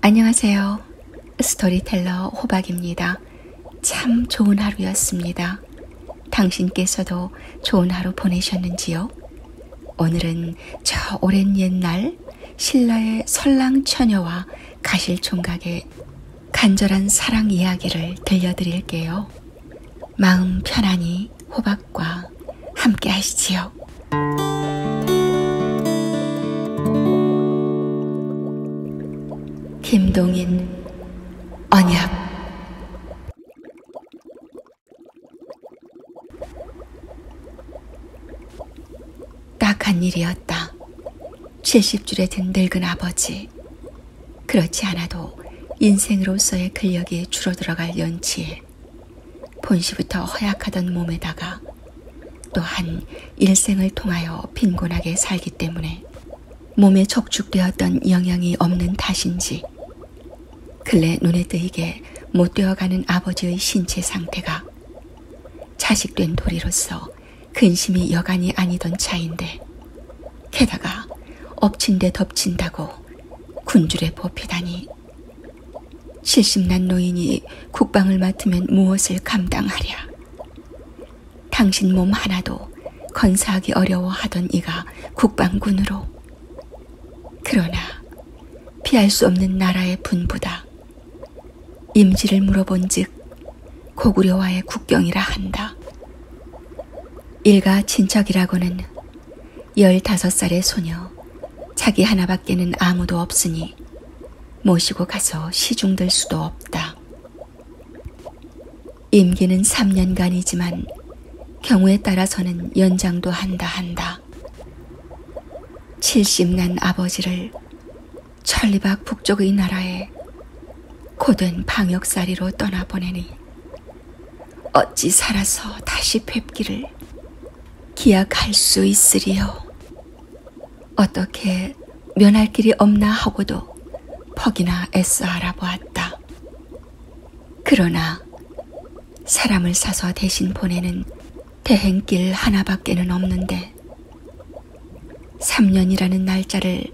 안녕하세요. 스토리텔러 호박입니다. 참 좋은 하루였습니다. 당신께서도 좋은 하루 보내셨는지요? 오늘은 저 오랜 옛날 신라의 설랑 처녀와 가실 총각의 간절한 사랑 이야기를 들려드릴게요. 마음 편안히 호박과 함께 하시지요. 김동인 언약 딱한 일이었다. 70줄에 든 늙은 아버지. 그렇지 않아도 인생으로서의 근력이 줄어들어갈 연치에 본시부터 허약하던 몸에다가 또한 일생을 통하여 빈곤하게 살기 때문에 몸에 적축되었던 영향이 없는 탓인지 근래 눈에 뜨이게 못되어가는 아버지의 신체 상태가 자식된 도리로서 근심이 여간이 아니던 차인데 게다가 엎친데 덮친다고 군줄에 뽑히다니 칠십난 노인이 국방을 맡으면 무엇을 감당하랴 당신 몸 하나도 건사하기 어려워하던 이가 국방군으로 그러나 피할 수 없는 나라의 분부다 임시를 물어본즉 고구려와의 국경이라 한다. 일가 친척이라고는 열다섯 살의 소녀 자기 하나밖에는 아무도 없으니 모시고 가서 시중들 수도 없다. 임기는 3년간이지만 경우에 따라서는 연장도 한다 한다. 70난 아버지를 찰리박 북쪽의 나라에 고된 방역사리로 떠나보내니 어찌 살아서 다시 뵙기를 기약할 수 있으리요. 어떻게 면할 길이 없나 하고도 퍽이나 애써 알아보았다. 그러나 사람을 사서 대신 보내는 대행길 하나밖에는 없는데 3년이라는 날짜를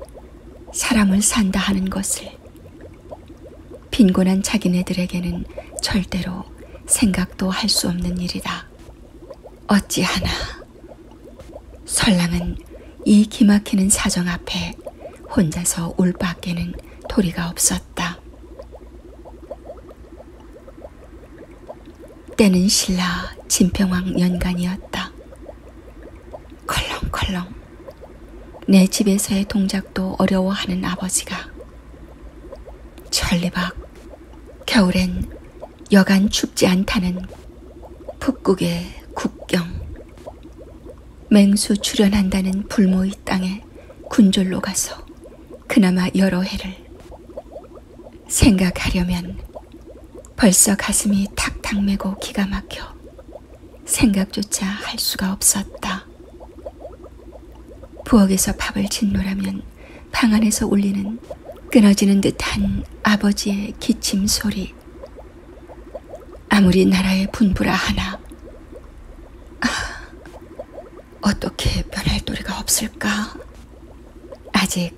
사람을 산다 하는 것을 빈곤한 자기네들에게는 절대로 생각도 할 수 없는 일이다. 어찌하나 설랑은 이 기막히는 사정 앞에 혼자서 울 밖에는 도리가 없었다. 때는 신라 진평왕 연간이었다. 컬렁컬렁 내 집에서의 동작도 어려워하는 아버지가 천리박 겨울엔 여간 춥지 않다는 북극의 국경 맹수 출현한다는 불모의 땅에 군졸로 가서 그나마 여러 해를 생각하려면 벌써 가슴이 탁탁 메고 기가 막혀 생각조차 할 수가 없었다. 부엌에서 밥을 짓노라면 방 안에서 울리는 끊어지는 듯한 아버지의 기침 소리. 아무리 나라의 분부라 하나, 아, 어떻게 변할 도리가 없을까? 아직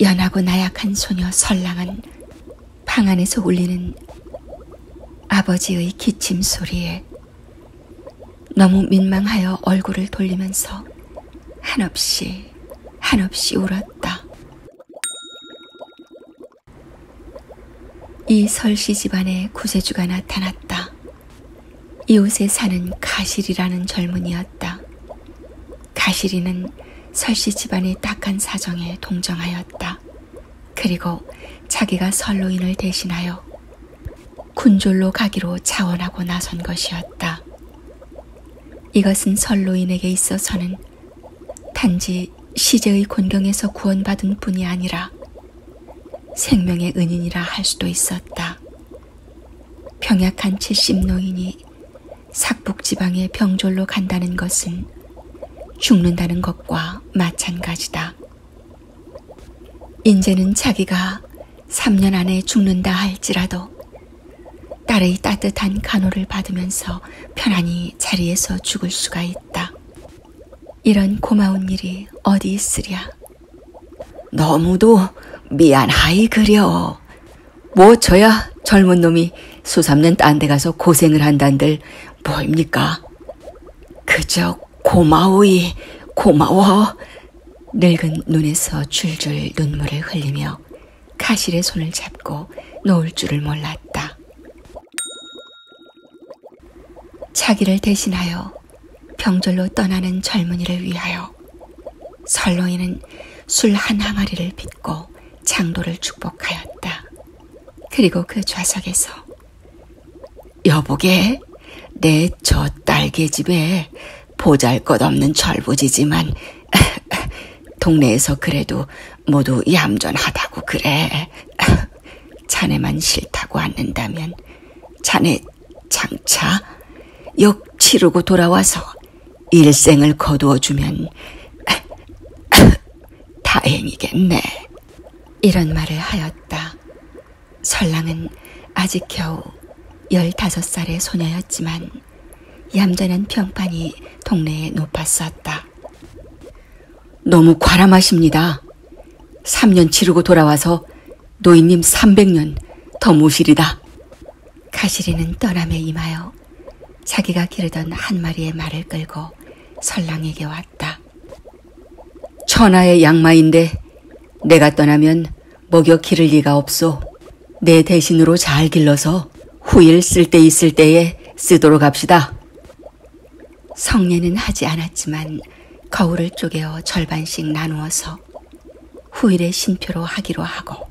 연하고 나약한 소녀 설랑은 방 안에서 울리는 아버지의 기침 소리에 너무 민망하여 얼굴을 돌리면서 한없이 한없이 울었다. 이 설씨 집안에 구세주가 나타났다. 이웃에 사는 가실이라는 젊은이였다. 가실이는 설씨 집안의 딱한 사정에 동정하였다. 그리고 자기가 설로인을 대신하여 군졸로 가기로 자원하고 나선 것이었다. 이것은 설로인에게 있어서는 단지 시제의 곤경에서 구원받은 뿐이 아니라 생명의 은인이라 할 수도 있었다. 병약한 70 노인이 삭북지방의 병졸로 간다는 것은 죽는다는 것과 마찬가지다. 인제는 자기가 3년 안에 죽는다 할지라도 딸의 따뜻한 간호를 받으면서 편안히 자리에서 죽을 수가 있다. 이런 고마운 일이 어디 있으랴. 너무도 미안하이 그려. 뭐 저야 젊은 놈이 수삼년 딴 데 가서 고생을 한단들 뭐입니까? 그저 고마우이 고마워. 늙은 눈에서 줄줄 눈물을 흘리며 카실의 손을 잡고 놓을 줄을 몰랐다. 차기를 대신하여 병졸로 떠나는 젊은이를 위하여 설로이는 술 한 항아리를 빚고 장로를 축복하였다. 그리고 그 좌석에서 여보게 내 저 딸개집에 보잘것없는 철부지지만 동네에서 그래도 모두 얌전하다고 그래. 자네만 싫다고 않는다면 자네 장차 역 치르고 돌아와서 일생을 거두어주면 다행이겠네. 이런 말을 하였다. 설랑은 아직 겨우 열다섯 살의 소녀였지만 얌전한 평판이 동네에 높았었다. 너무 과람하십니다. 3년 치르고 돌아와서 노인님 300년 더 모시리다. 가시리는 떠남에 임하여 자기가 기르던 한 마리의 말을 끌고 설랑에게 왔다. 천하의 양마인데 내가 떠나면 먹여 기를 리가 없소. 내 대신으로 잘 길러서 후일 쓸 때 있을 때에 쓰도록 합시다. 성례는 하지 않았지만 거울을 쪼개어 절반씩 나누어서 후일의 신표로 하기로 하고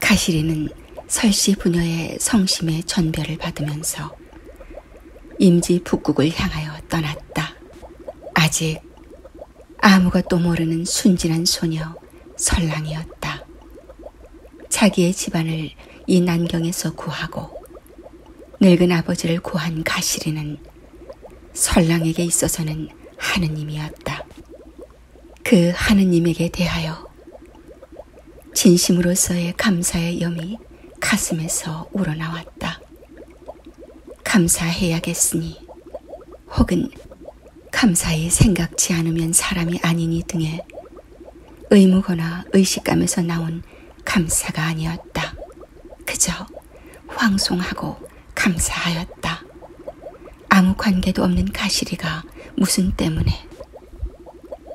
가시리는 설씨 부녀의 성심의 전별을 받으면서 임지 북국을 향하여 떠났다. 아직 아무것도 모르는 순진한 소녀 설랑이었다. 자기의 집안을 이 난경에서 구하고 늙은 아버지를 구한 가시리는 설랑에게 있어서는 하느님이었다. 그 하느님에게 대하여 진심으로서의 감사의 염이 가슴에서 우러나왔다. 감사해야겠으니 혹은 감사히 생각지 않으면 사람이 아니니 등의 의무거나 의식감에서 나온 감사가 아니었다. 그저 황송하고 감사하였다. 아무 관계도 없는 가시리가 무슨 때문에.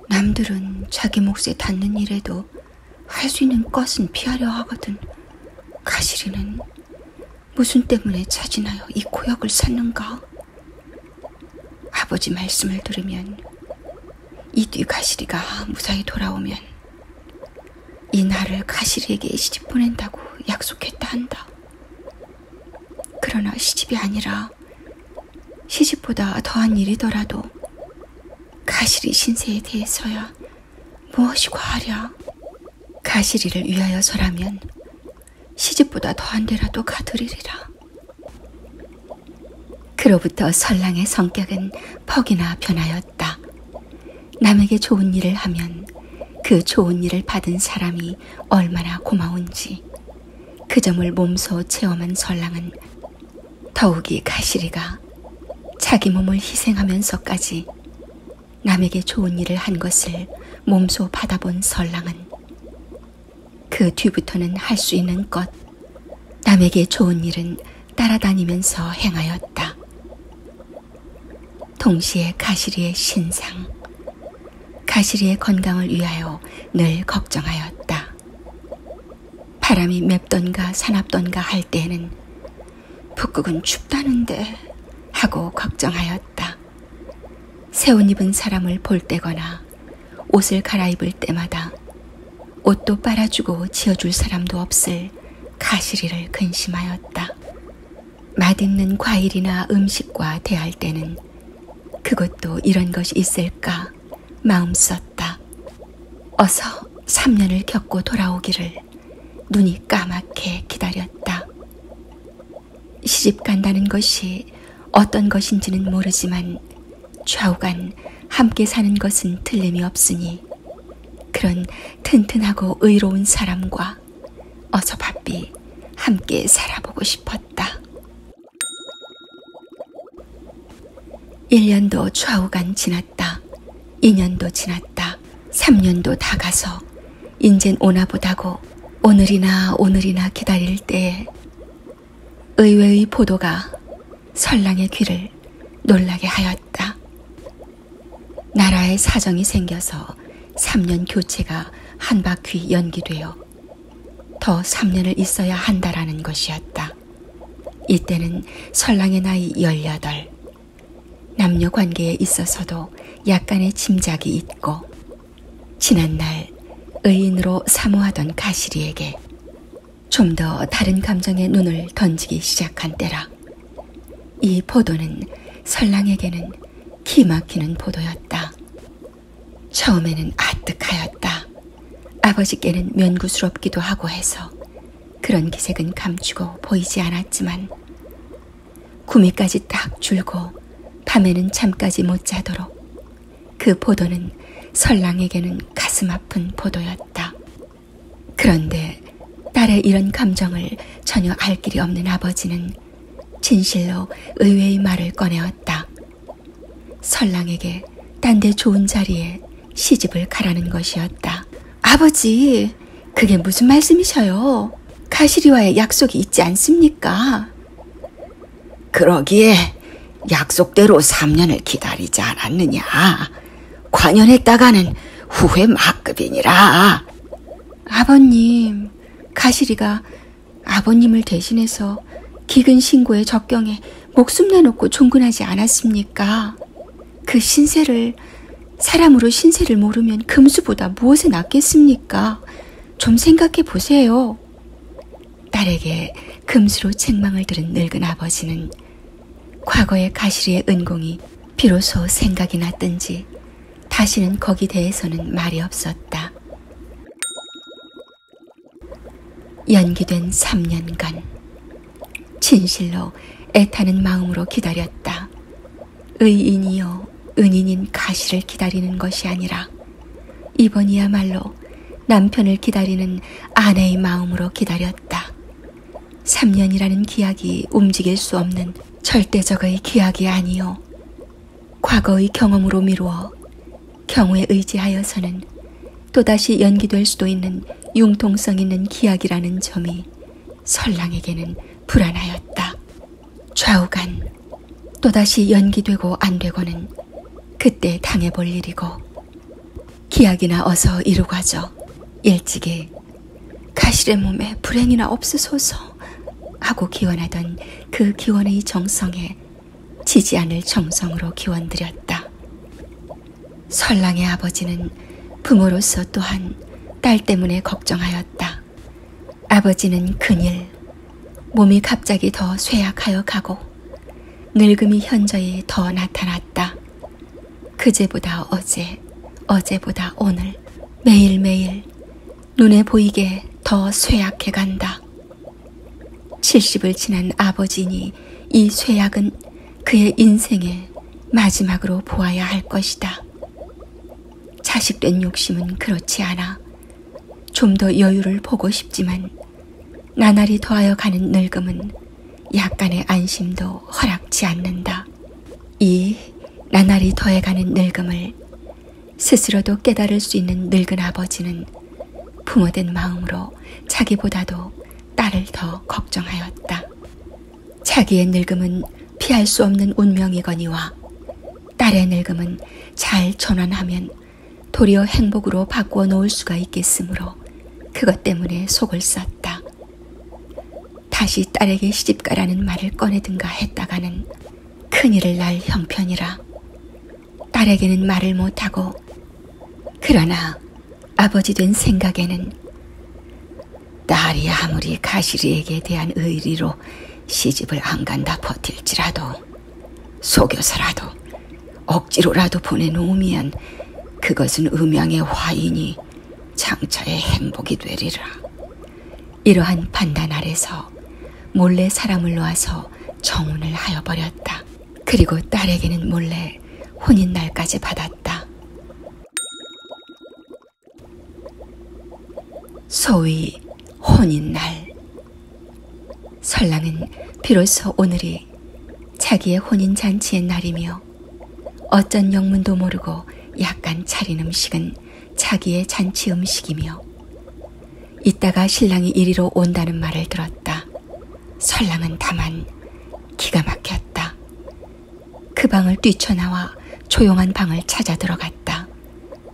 남들은 자기 몫에 닿는 일에도 할 수 있는 것은 피하려 하거든. 가시리는 무슨 때문에 자진하여 이 고역을 샀는가? 아버지 말씀을 들으면 이 뒤 가시리가 무사히 돌아오면 이 나를 가시리에게 시집 보낸다고 약속했다 한다. 그러나 시집이 아니라 시집보다 더한 일이더라도 가시리 신세에 대해서야 무엇이 과하랴. 가시리를 위하여서라면 시집보다 더한 데라도 가드리리라. 그로부터 설랑의 성격은 퍽이나 변하여 않았다. 남에게 좋은 일을 하면 그 좋은 일을 받은 사람이 얼마나 고마운지 그 점을 몸소 체험한 설랑은 더욱이 가시리가 자기 몸을 희생하면서까지 남에게 좋은 일을 한 것을 몸소 받아본 설랑은 그 뒤부터는 할 수 있는 것 남에게 좋은 일은 따라다니면서 행하였다. 동시에 가시리의 신상, 가시리의 건강을 위하여 늘 걱정하였다. 바람이 맵던가 사납던가 할 때에는 북극은 춥다는데 하고 걱정하였다. 새 옷 입은 사람을 볼 때거나 옷을 갈아입을 때마다 옷도 빨아주고 지어줄 사람도 없을 가시리를 근심하였다. 맛있는 과일이나 음식과 대할 때는 그것도 이런 것이 있을까 마음 썼다. 어서 3년을 겪고 돌아오기를 눈이 까맣게 기다렸다. 시집 간다는 것이 어떤 것인지는 모르지만 좌우간 함께 사는 것은 틀림이 없으니 그런 튼튼하고 의로운 사람과 어서 바삐 함께 살아보고 싶었다. 1년도 좌우간 지났다. 2년도 지났다. 3년도 다 가서 인젠 오나 보다고 오늘이나 오늘이나 기다릴 때에 의외의 보도가 설랑의 귀를 놀라게 하였다. 나라의 사정이 생겨서 3년 교체가 한 바퀴 연기되어 더 3년을 있어야 한다라는 것이었다. 이때는 설랑의 나이 18, 남녀 관계에 있어서도 약간의 짐작이 있고 지난날 의인으로 사모하던 가시리에게 좀더 다른 감정에 눈을 던지기 시작한 때라. 이 포도는 설랑에게는 기막히는 포도였다. 처음에는 아뜩하였다. 아버지께는 면구스럽기도 하고 해서 그런 기색은 감추고 보이지 않았지만 구미까지 딱 줄고 밤에는 잠까지 못 자도록 그 포도는 설랑에게는 가슴 아픈 포도였다. 그런데 딸의 이런 감정을 전혀 알 길이 없는 아버지는 진실로 의외의 말을 꺼내왔다. 설랑에게 딴 데 좋은 자리에 시집을 가라는 것이었다. 아버지, 그게 무슨 말씀이셔요? 가시리와의 약속이 있지 않습니까? 그러기에 약속대로 3년을 기다리지 않았느냐. 관연했다가는 후회 막급이니라. 아버님, 가시리가 아버님을 대신해서 기근 신고에 적경에 목숨 내놓고 종근하지 않았습니까? 그 신세를 사람으로 신세를 모르면 금수보다 무엇에 낫겠습니까? 좀 생각해 보세요. 딸에게 금수로 책망을 들은 늙은 아버지는 과거의 가시리의 은공이 비로소 생각이 났든지 다시는 거기 대해서는 말이 없었다. 연기된 3년간 진실로 애타는 마음으로 기다렸다. 의인이요 은인인 가시를 기다리는 것이 아니라 이번이야말로 남편을 기다리는 아내의 마음으로 기다렸다. 3년이라는 기약이 움직일 수 없는 절대적의 기약이 아니요. 과거의 경험으로 미루어 경우에 의지하여서는 또다시 연기될 수도 있는 융통성 있는 기약이라는 점이 설랑에게는 불안하였다. 좌우간 또다시 연기되고 안 되고는 그때 당해볼 일이고 기약이나 어서 이루고 하죠. 일찍이 가실의 몸에 불행이나 없으소서 하고 기원하던 그 기원의 정성에 지지 않을 정성으로 기원드렸다. 설랑의 아버지는 부모로서 또한 딸 때문에 걱정하였다. 아버지는 큰일, 몸이 갑자기 더 쇠약하여 가고 늙음이 현저히 더 나타났다. 그제보다 어제, 어제보다 오늘, 매일매일 눈에 보이게 더 쇠약해 간다. 70을 지난 아버지니 이 쇠약은 그의 인생의 마지막으로 보아야 할 것이다. 자식된 욕심은 그렇지 않아. 좀 더 여유를 보고 싶지만 나날이 더하여 가는 늙음은 약간의 안심도 허락치 않는다. 이 나날이 더해가는 늙음을 스스로도 깨달을 수 있는 늙은 아버지는 부모된 마음으로 자기보다도 딸을 더 걱정하였다. 자기의 늙음은 피할 수 없는 운명이거니와 딸의 늙음은 잘 전환하면 도리어 행복으로 바꾸어 놓을 수가 있겠으므로 그것 때문에 속을 썼다. 않았다. 다시 딸에게 시집가라는 말을 꺼내든가 했다가는 큰일을 날 형편이라 딸에게는 말을 못하고 그러나 아버지 된 생각에는 딸이 아무리 가시리에게 대한 의리로 시집을 안 간다 버틸지라도 속여서라도 억지로라도 보내놓으면 그것은 음양의 화인이 장차의 행복이 되리라. 이러한 판단 아래서 몰래 사람을 놓아서 정혼을 하여 버렸다. 그리고 딸에게는 몰래 혼인 날까지 받았다. 소위 혼인 날. 설랑은 비로소 오늘이 날이 자기의 혼인 잔치의 날이며 어쩐 영문도 모르고 약간 차린 음식은 자기의 잔치 음식이며 이따가 신랑이 이리로 온다는 말을 들었다. 설랑은 다만 기가 막혔다. 그 방을 뛰쳐나와 조용한 방을 찾아 들어갔다.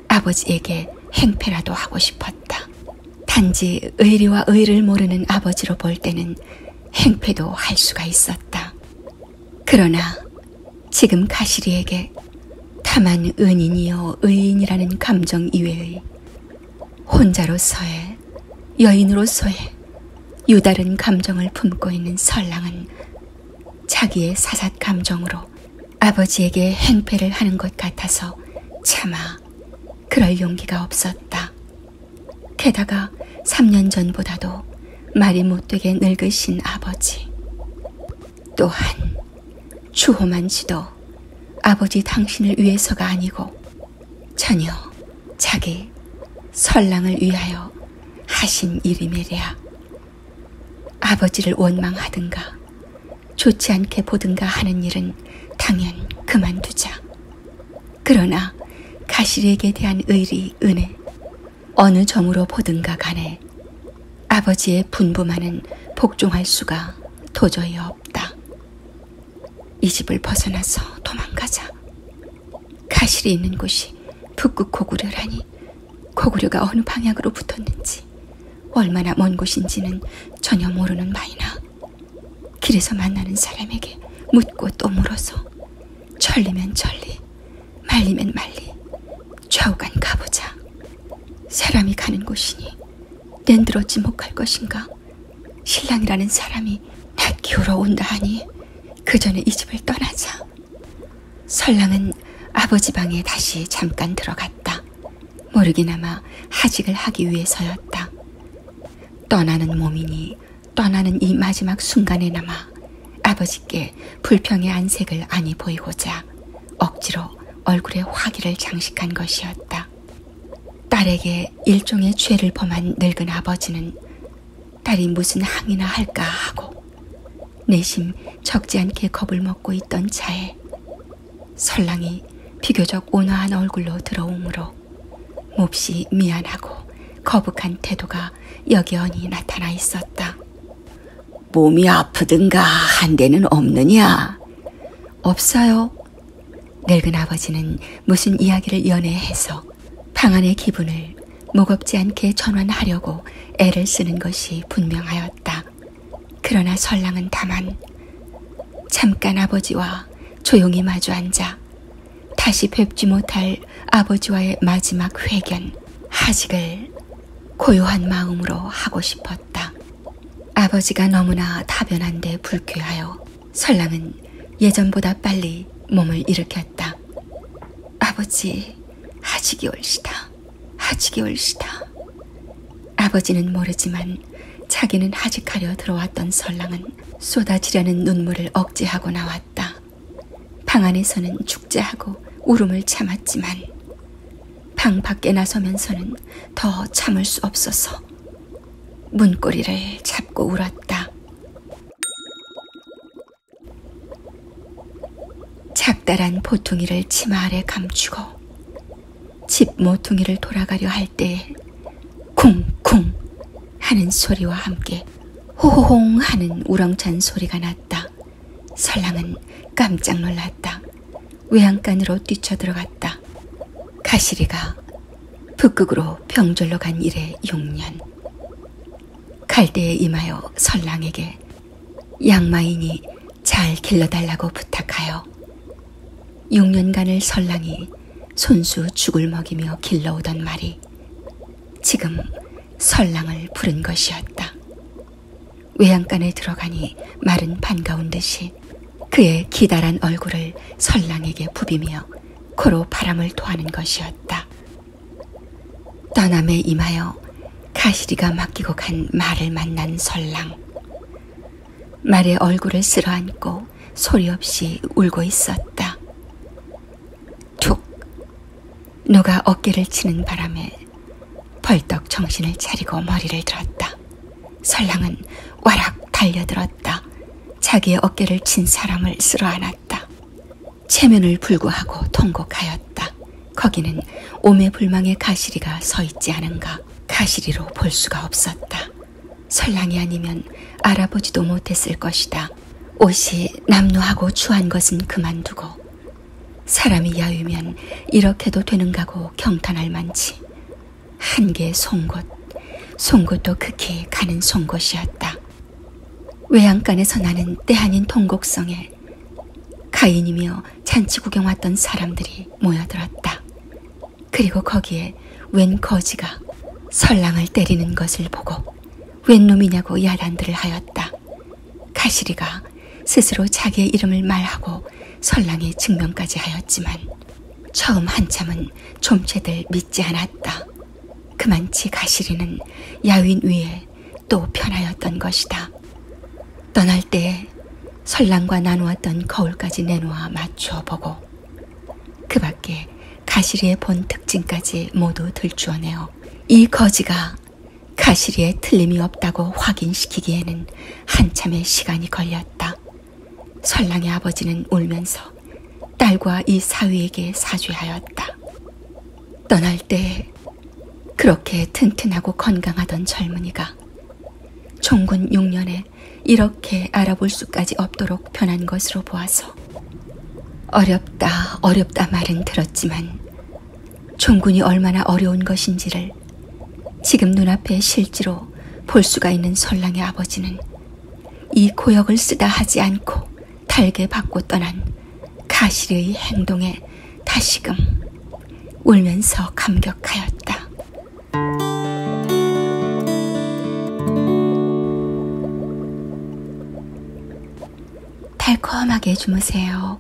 아버지에게 행패라도 하고 싶었다. 단지 의리와 의를 모르는 아버지로 볼 때는 행패도 할 수가 있었다. 그러나 지금 가시리에게 다만 은인이여 의인이라는 감정 이외의 혼자로서의 여인으로서의 유다른 감정을 품고 있는 설랑은 자기의 사삿 감정으로 아버지에게 행패를 하는 것 같아서 차마 그럴 용기가 없었다. 게다가 3년 전보다도 말이 못되게 늙으신 아버지. 또한 추호만 씨도 아버지 당신을 위해서가 아니고 전혀 자기 설랑을 위하여 하신 일이매랴. 아버지를 원망하든가 좋지 않게 보든가 하는 일은 당연 그만두자. 그러나 가시에게 대한 의리, 은혜, 어느 점으로 보든가 간에 아버지의 분부만은 복종할 수가 도저히 없다. 이 집을 벗어나서 도망가자. 가실이 있는 곳이 북극 고구려라니 고구려가 어느 방향으로 붙었는지 얼마나 먼 곳인지는 전혀 모르는 마이나 길에서 만나는 사람에게 묻고 또 물어서 천리면 천리, 말리면 말리, 좌우간 가보자. 사람이 가는 곳이니 땐들었지 못갈 것인가? 신랑이라는 사람이 나 키우러 온다 하니 그 전에 이 집을 떠나자. 설랑은 아버지 방에 다시 잠깐 들어갔다. 모르기나마 하직을 하기 위해서였다. 떠나는 몸이니 떠나는 이 마지막 순간에나마 아버지께 불평의 안색을 아니 보이고자 억지로 얼굴에 화기를 장식한 것이었다. 딸에게 일종의 죄를 범한 늙은 아버지는 딸이 무슨 항의나 할까 하고 내심 적지 않게 겁을 먹고 있던 차에 설랑이 비교적 온화한 얼굴로 들어오므로 몹시 미안하고 거북한 태도가 여견히 나타나 있었다. 몸이 아프든가 한데는 없느냐? 없어요. 늙은 아버지는 무슨 이야기를 연애해서 방안의 기분을 무겁지 않게 전환하려고 애를 쓰는 것이 분명하였다. 그러나 설랑은 다만 잠깐 아버지와 조용히 마주 앉아 다시 뵙지 못할 아버지와의 마지막 회견, 하직을 고요한 마음으로 하고 싶었다. 아버지가 너무나 다변한데 불쾌하여 설람은 예전보다 빨리 몸을 일으켰다. 아버지, 하직이 올시다. 하직이 올시다. 아버지는 모르지만 자기는 하직하려 들어왔던 설랑은 쏟아지려는 눈물을 억제하고 나왔다. 방 안에서는 축제하고 울음을 참았지만 방 밖에 나서면서는 더 참을 수 없어서 문고리를 잡고 울었다. 작다란 보퉁이를 치마 아래 감추고 집 모퉁이를 돌아가려 할 때에 쿵쿵 하는 소리와 함께 호호홍 하는 우렁찬 소리가 났다. 설랑은 깜짝 놀랐다. 외양간으로 뛰쳐들어갔다. 가시리가 북극으로 병졸로 간 일에 6년. 갈대에 임하여 설랑에게 양마인이 잘 길러달라고 부탁하여 6년간을 설랑이 손수 죽을 먹이며 길러오던 말이 지금 설랑을 부른 것이었다. 외양간에 들어가니 말은 반가운 듯이 그의 기다란 얼굴을 설랑에게 부비며 코로 바람을 토하는 것이었다. 떠남에 임하여 가시리가 맡기고 간 말을 만난 설랑. 말의 얼굴을 쓸어안고 소리 없이 울고 있었다. 툭! 누가 어깨를 치는 바람에 벌떡 정신을 차리고 머리를 들었다. 설랑은 와락 달려들었다. 자기의 어깨를 친 사람을 쓸어안았다. 체면을 불구하고 통곡하였다. 거기는 오매불망의 가시리가 서 있지 않은가 가시리로 볼 수가 없었다. 설랑이 아니면 알아보지도 못했을 것이다. 옷이 남루하고 추한 것은 그만두고 사람이 야유면 이렇게도 되는가고 경탄할 만치 한 개의 송곳, 송곳도 극히 가는 송곳이었다. 외양간에서 나는 때 아닌 통곡성에 가인이며 잔치 구경 왔던 사람들이 모여들었다. 그리고 거기에 웬 거지가 설랑을 때리는 것을 보고 웬 놈이냐고 야단들을 하였다. 가시리가 스스로 자기의 이름을 말하고 설랑의 증명까지 하였지만 처음 한참은 좀체들 믿지 않았다. 그만치 가시리는 야윈 위에 또 편하였던 것이다. 떠날 때에 설랑과 나누었던 거울까지 내놓아 맞추어 보고 그 밖에 가시리의 본 특징까지 모두 들추어내어 이 거지가 가시리에 틀림이 없다고 확인시키기에는 한참의 시간이 걸렸다. 설랑의 아버지는 울면서 딸과 이 사위에게 사죄하였다. 떠날 때 그렇게 튼튼하고 건강하던 젊은이가 종군 6년에 이렇게 알아볼 수까지 없도록 변한 것으로 보아서 어렵다 어렵다 말은 들었지만 종군이 얼마나 어려운 것인지를 지금 눈앞에 실제로 볼 수가 있는 설랑의 아버지는 이 고역을 쓰다 하지 않고 달게 받고 떠난 가실의 행동에 다시금 울면서 감격하였다. 달콤하게 주무세요.